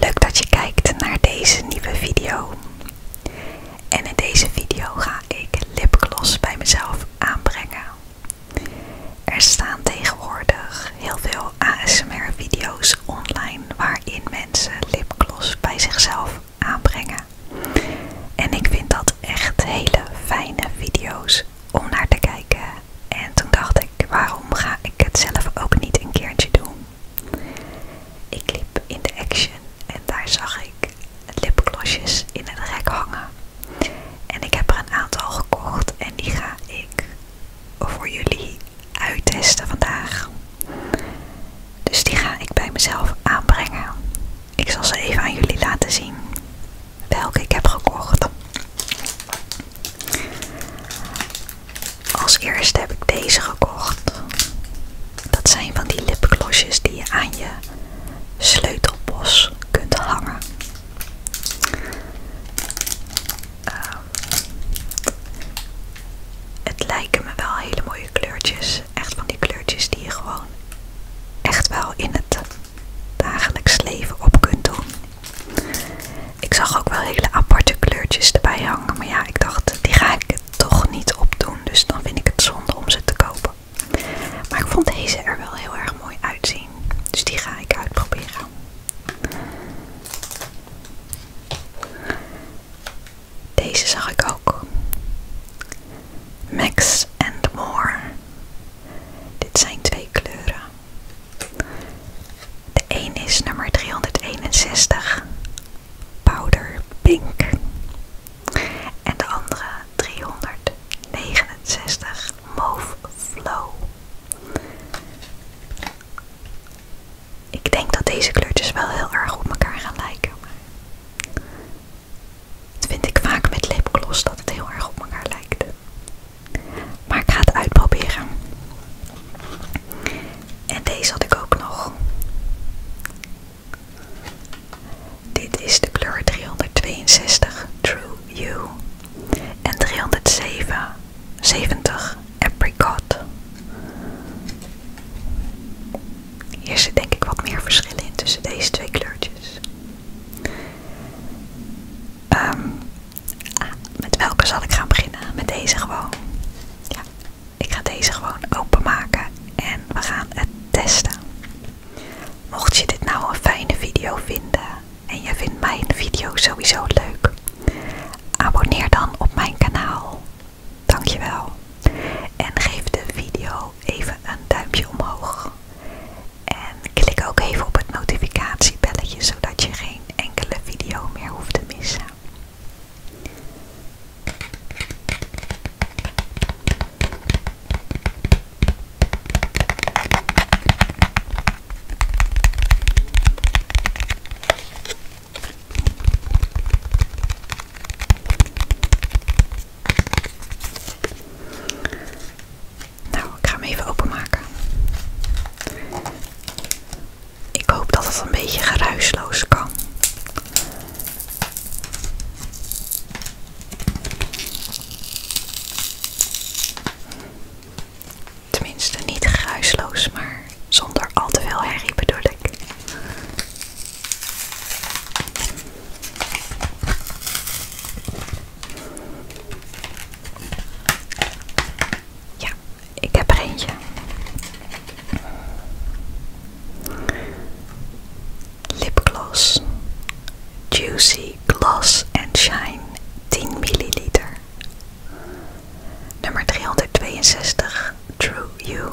Leuk dat je kijkt naar deze nieuwe video. En in deze video ga ik lipgloss bij mezelf aanbrengen. Er staan tegenwoordig heel veel ASMR video's online waarin mensen lipgloss bij zichzelf aanbrengen. En ik vind dat echt hele fijne video's om naar te kijken en toen dacht ik, waarom ga ik het zelf ook niet een keertje doen? Ik liep in de Action en daar zag ik lipglossjes in het rek hangen. En ik heb er een aantal gekocht en die ga ik voor jullie uittesten vandaag. Dus die ga ik bij mezelf aanbrengen. Ik zal ze even aan jullie laten zien welke ik heb gekocht. Als eerste heb ik deze gekocht. Dat zijn van die lipglossjes die je aan je sleutelbos kunt hangen. Ehm, het lijken me wel hele mooie kleurtjes. Echt van die kleurtjes die je gewoon echt wel in het dagelijks leven op kunt doen. Ik zag ook wel hele aparte kleurtjes erbij hangen. Maar ja, ik dacht, die ga ik toch niet opdoen. Dus dan vind ik het zonde om ze te kopen. Maar ik vond deze er wel heel erg mooi uitzien. Dus die ga ik uitproberen. Deze zag ik ook. Max and More. Dit zijn twee kleuren. De een is nummer 361, Powder Pink. En de andere 369, Mauve Flow. Ik denk dat deze kleurtjes wel heel erg op elkaar gaan lijken. dat vind ik vaak met lipgloss dat het heel erg op elkaar lijkt. Maar ik ga het uitproberen. En deze had ik ook nog. Dit is de kleur 362 True You en 370 Apricot. Hier zit denk ik wat meer verschil in tussen deze twee kleurtjes. Ehm Ah, met welke zal ik gaan beginnen? Met deze gewoon. ik ga deze gewoon openmaken en we gaan het testen. Mocht je dit nou een fijne video vinden en je vindt mijn video sowieso leuk, abonneer dan op mijn kanaal. Dankjewel. En geef de video even een duimpje omhoog. En klik ook even op het notificatiebelletje zodat je geen enkele video meer hoeft te missen. Nou, ik ga hem even openmaken. Ik hoop dat het een beetje geruisloos kan. Tenminste, niet geruisloos, maar zonder al te veel herrie bedoel ik. Ja, ik heb er eentje. Lipgloss. Juicy Gloss and Shine 10 ml. Nummer 362 True You.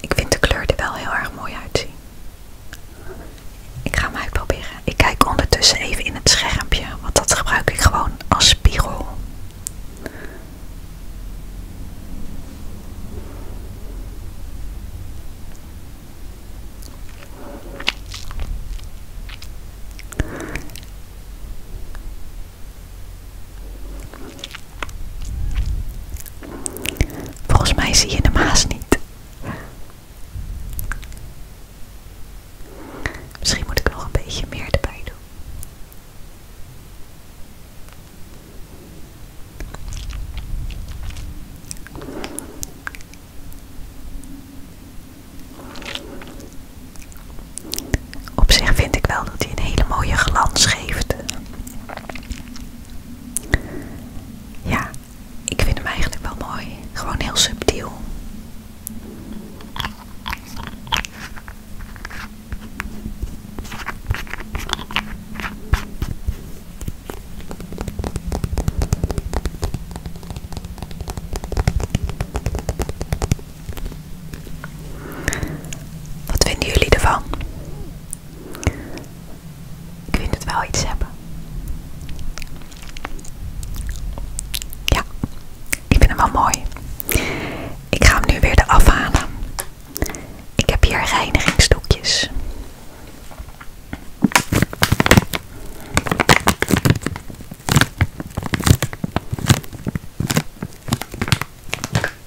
Ik vind de kleur er wel heel erg mooi uitzien. Ik ga hem uitproberen. Ik kijk ondertussen even in het schermpje, want dat gebruik ik gewoon als spiegel. Volgens mij zie je de maas niet. Misschien moet ik nog een beetje meer erbij doen. Op zich vind ik wel dat hij een hele mooie glans geeft. Ja, ik vind hem eigenlijk wel mooi. Gewoon heel subtiel. Wat vinden jullie ervan? Ik vind het wel iets hebben. Ja, ik vind hem wel mooi. Ik ga hem nu weer eraf halen. Ik heb hier reinigingsdoekjes.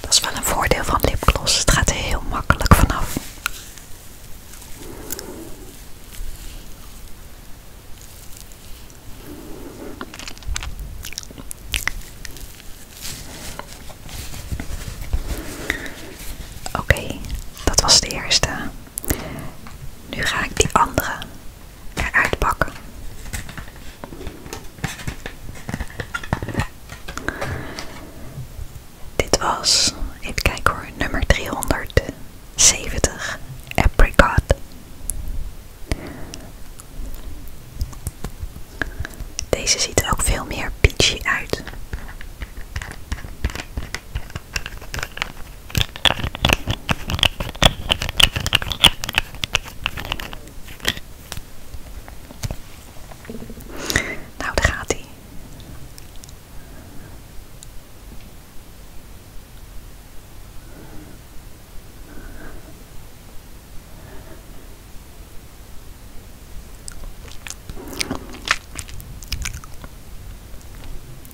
Dat is wel een voordeel van lipgloss. Het gaat er heel makkelijk vanaf. Oké, dat was de eerste. Nu ga ik die andere eruit pakken. Dit was, even kijken hoor, nummer 370, Apricot. Deze ziet ook veel meer peachy uit. Nou, daar gaat hij.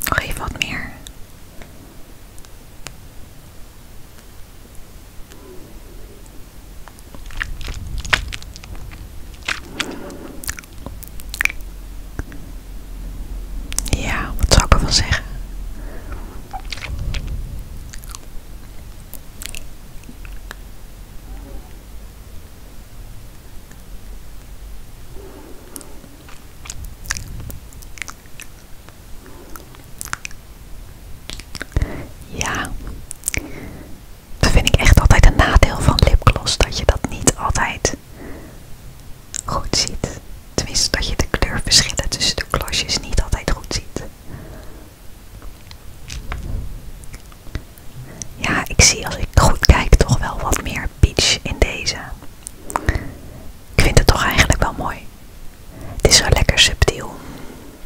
Nog even wat meer. Ja, wat zou ik wel zeggen? Ja, dat vind ik echt altijd een nadeel van lipgloss, dat je dat niet altijd goed ziet. Tenminste, dat je de kleurverschillen tussen de klosjes niet altijd goed ziet. Ja, ik zie als ik goed kijk toch wel wat meer peach in deze. Ik vind het toch eigenlijk wel mooi. Het is wel lekker subtiel.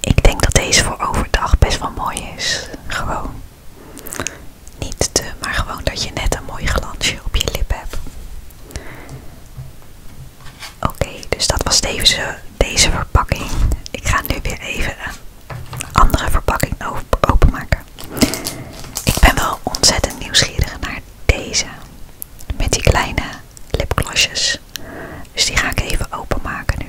Ik denk dat deze voor overdag best wel mooi is. Gewoon. Niet te, maar gewoon dat je net een mooi glansje op je lip hebt. Oké, dus dat was deze, deze verpakking. Ik ga nu weer even een andere verpakking openmaken. Ik ben wel ontzettend nieuwsgierig naar deze. Met die kleine lipglossjes. Dus die ga ik even openmaken nu.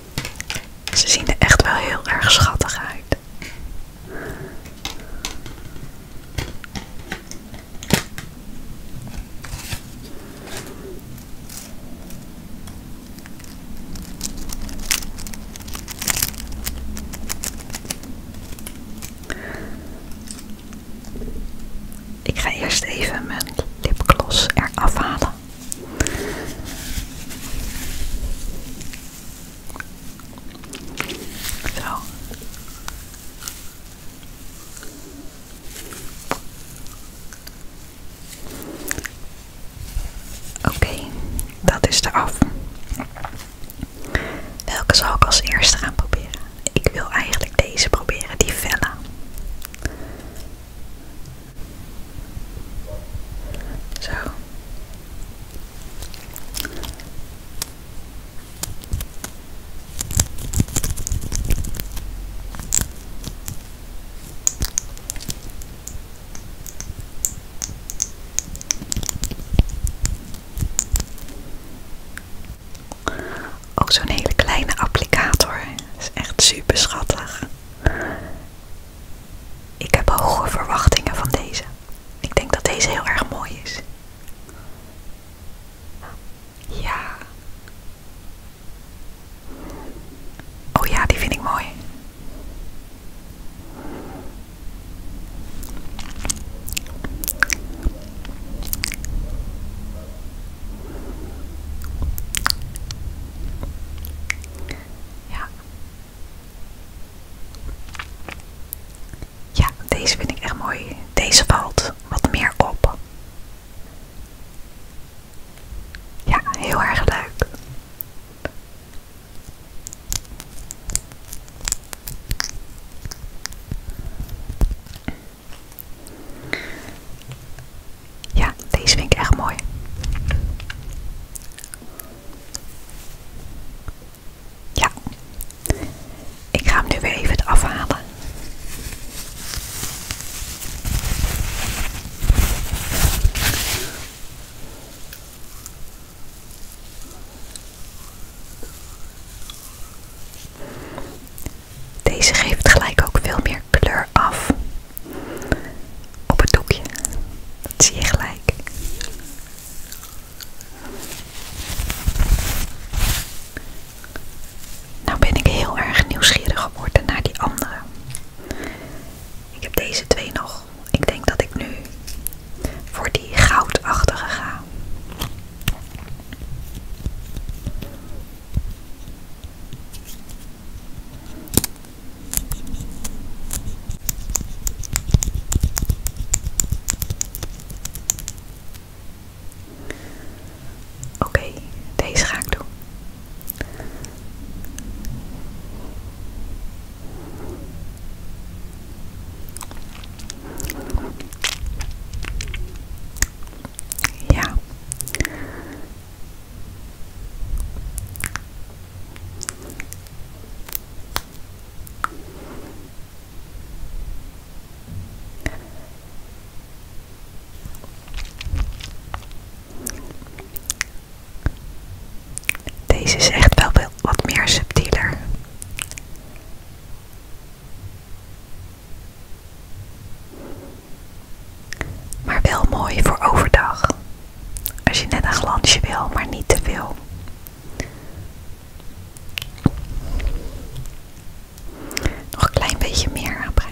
Ze zien er echt wel heel erg schattig uit. Ik ga eerst even mijn lipgloss eraf halen. Zo. Oké, dat is eraf. Welke zal ik als eerste gaan proberen? Ik wil eigenlijk deze proberen, die vellen. Ook zo'n hele kleine applicator. is echt super schattig. Ik heb hoge verwachtingen van deze. Ik denk dat deze heel erg mooi is. Ja. Oh ja, die vind ik mooi. Ja. Ja, deze vind ik echt mooi. Deze valt wat meer op. Ja, heel erg leuk. Ja, deze vind ik echt mooi. Ja, ik ga hem nu weer even afhalen. Deze geeft gelijk ook veel meer kleur af. Op het doekje. zie je gelijk. Nou ben ik heel erg nieuwsgierig geworden naar die andere. Ik heb deze twee nog. Ik denk dat ik nu voor die goudachtige ga. Oké, deze ga ik doen. Ja, deze is echt wel wat meer subtieler. Maar wel mooi voor overdag. Als je net een glansje wil, maar niet te veel. Nog een klein beetje meer aanbrengen.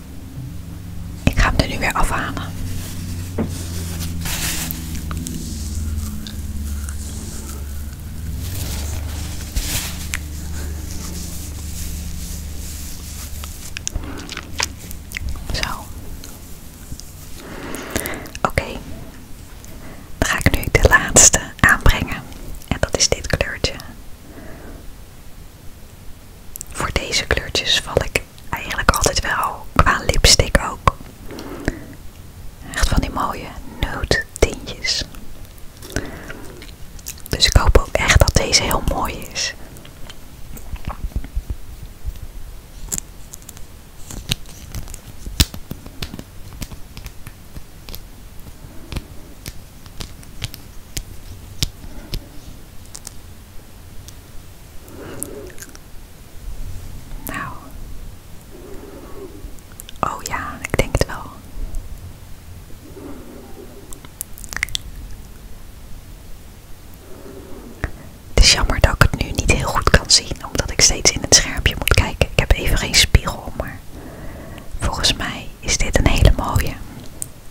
Ik ga hem er nu weer afhalen. Zo. Oké. Dan ga ik nu de laatste aanbrengen. En dat is dit kleurtje. Voor deze kleurtjes val ik eigenlijk altijd wel qua lipstick ook. Echt van die mooie nude tintjes. Dus ik hoop ook echt dat deze heel mooi is. Nou. Oh ja, ik denk het wel. Het is jammer dat ik het nu niet heel goed kan zien, omdat ik steeds in het schermpje moet kijken. Ik heb even geen spiegel, maar volgens mij is dit een hele mooie.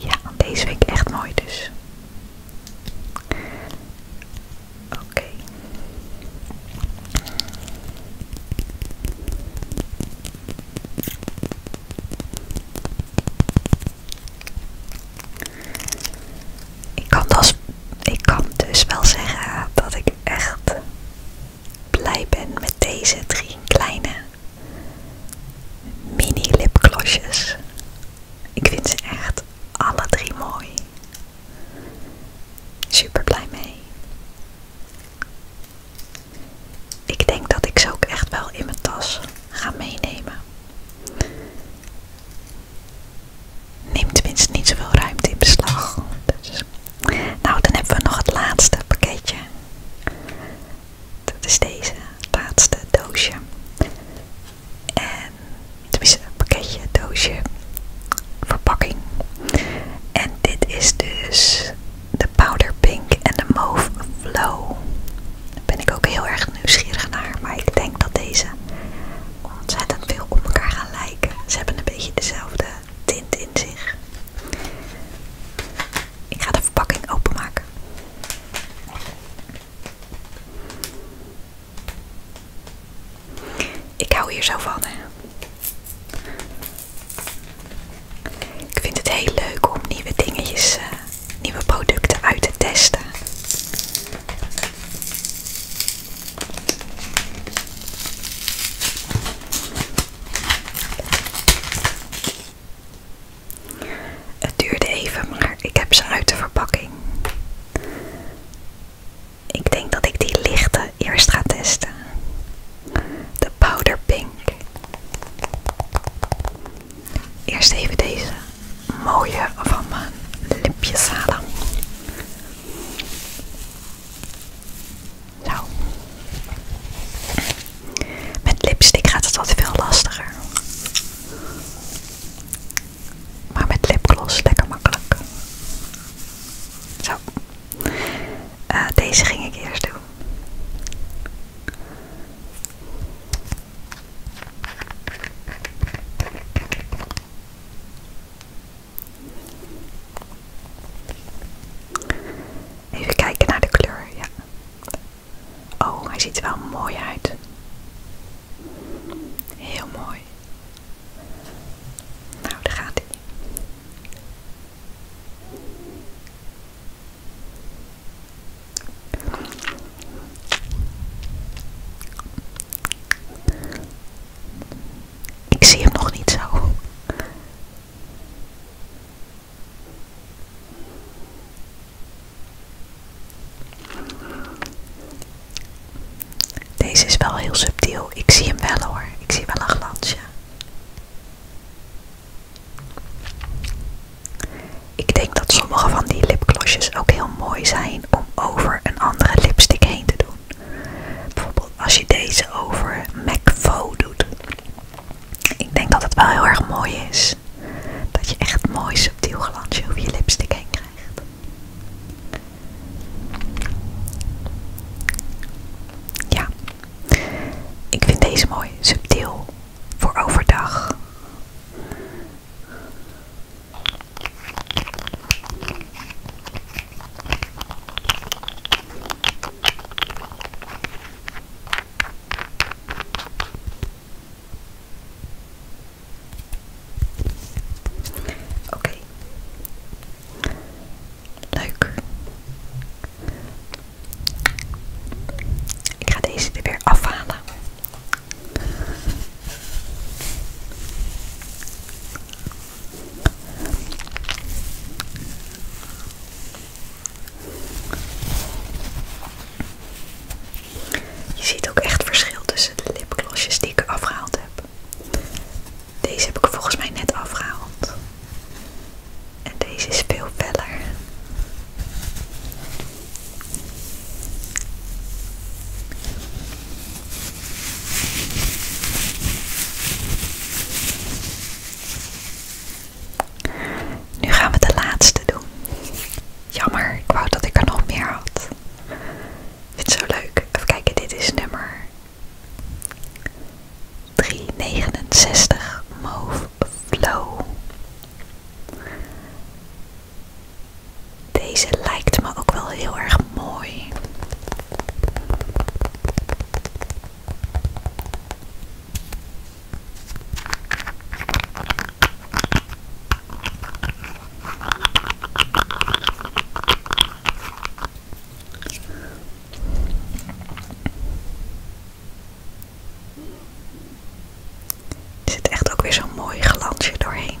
Ja, deze week echt mooi dus. Dus- ik kan, dus, wel zeggen dat ik echt blij ben met deze drie kleine mini lipglosjes. Ik vind ze echt alle drie mooi. Super blij mee. Ik denk dat ik ze ook echt wel in mijn tas ga meenemen. Neemt tenminste niet zoveel ruimte in beslag. Dus, nou, dan hebben we nog het laatste pakketje. Dat is deze laatste doosje. En tenminste, pakketje, doosje, verpakking. En dit is dus de Powder Pink en de Mauve Flow. Daar ben ik ook heel erg nieuwsgierig naar. Maar ik denk dat deze ontzettend veel op elkaar gaan lijken. Ze hebben een beetje dezelfde tint in zich. Ik ga de verpakking openmaken. Ik hou hier zo van, hè. Ik vind het heel leuk om nieuwe dingetjes eh, nieuwe producten uit te testen. Het duurde even, maar ik heb ze uit de verpakking. Ik denk dat ik die lichte eerst ga testen. De powder pink. Eerst even deze mooie van mijn lipjes halen. Zo. Met lipstick gaat het wat veel lastiger. Maar met lipgloss lekker makkelijk. Zo. Eh, deze ging ik eerst doen. Even kijken naar de kleur, ja. Oh, hij ziet er wel mooi uit. Heel mooi. Nou, daar gaat hij. Ik zie hem nog niet zo. Deze is wel heel subtiel. Ik zie hem wel hoor. Ik zie wel een glansje. Ik denk dat sommige van die lipglossjes ook heel mooi zijn om over een andere lipstick heen te doen. Bijvoorbeeld als je deze over MAC doet. Ik denk dat het wel heel erg mooi is. Dat je echt mooi subtiel glansje over je lipstick heen krijgt. Ja, ik vind deze mooi subtiel voor overdag. Oké. Leuk. Ik ga deze er weer afhalen. Je ziet ook echt verschil tussen de lipglossjes die ik afgehaald heb. Deze heb ik volgens mij net afgehaald. En deze is veel feller. Nu gaan we de laatste doen. Jammer, ik wou dat ik er nog meer had. Ik vind het zo leuk. Even kijken, dit is nummer 369 deze lijkt me ook wel heel erg mooi. Er zit echt ook weer zo'n mooi glansje doorheen.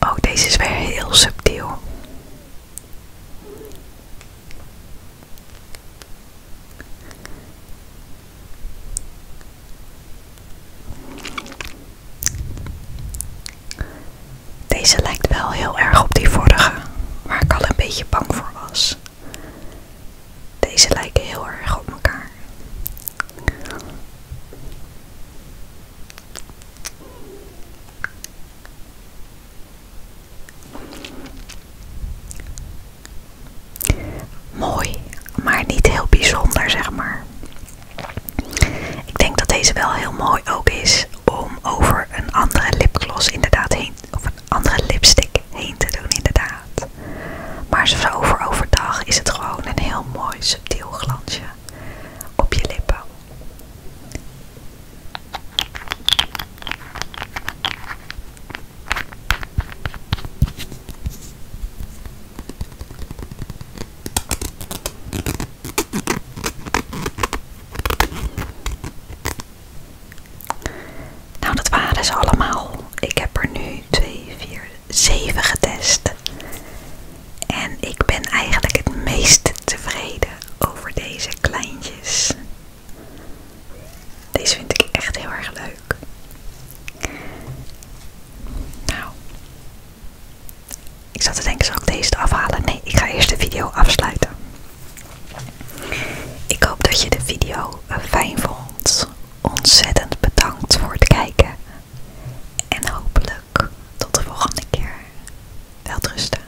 Oh, deze is weer heel subtiel. Deze lijkt wel heel erg op die vorige, waar ik al een beetje bang voor was. Deze lijken heel erg op elkaar. Mooi, maar niet heel bijzonder, zeg maar. Ik denk dat deze wel heel mooi ook is om over een andere lipgloss inderdaad heen, of een andere lipstick heen te doen, inderdaad. Maar zo voor overdag is het gewoon een heel mooi subtiel glansje op je lippen. Nou, dat waren ze allemaal. Ik heb er nu twee, vier, zeven getest. En ik ben eigenlijk het meest tevreden over deze kleintjes. Deze vind ik echt heel erg leuk. Nou, ik zat te denken, zal ik deze afhalen? Nee, ik ga eerst de video afsluiten. Ik hoop dat je de video eh, fijn vond. Ontzettend bedankt voor het kijken. En hopelijk tot de volgende keer. Welterusten.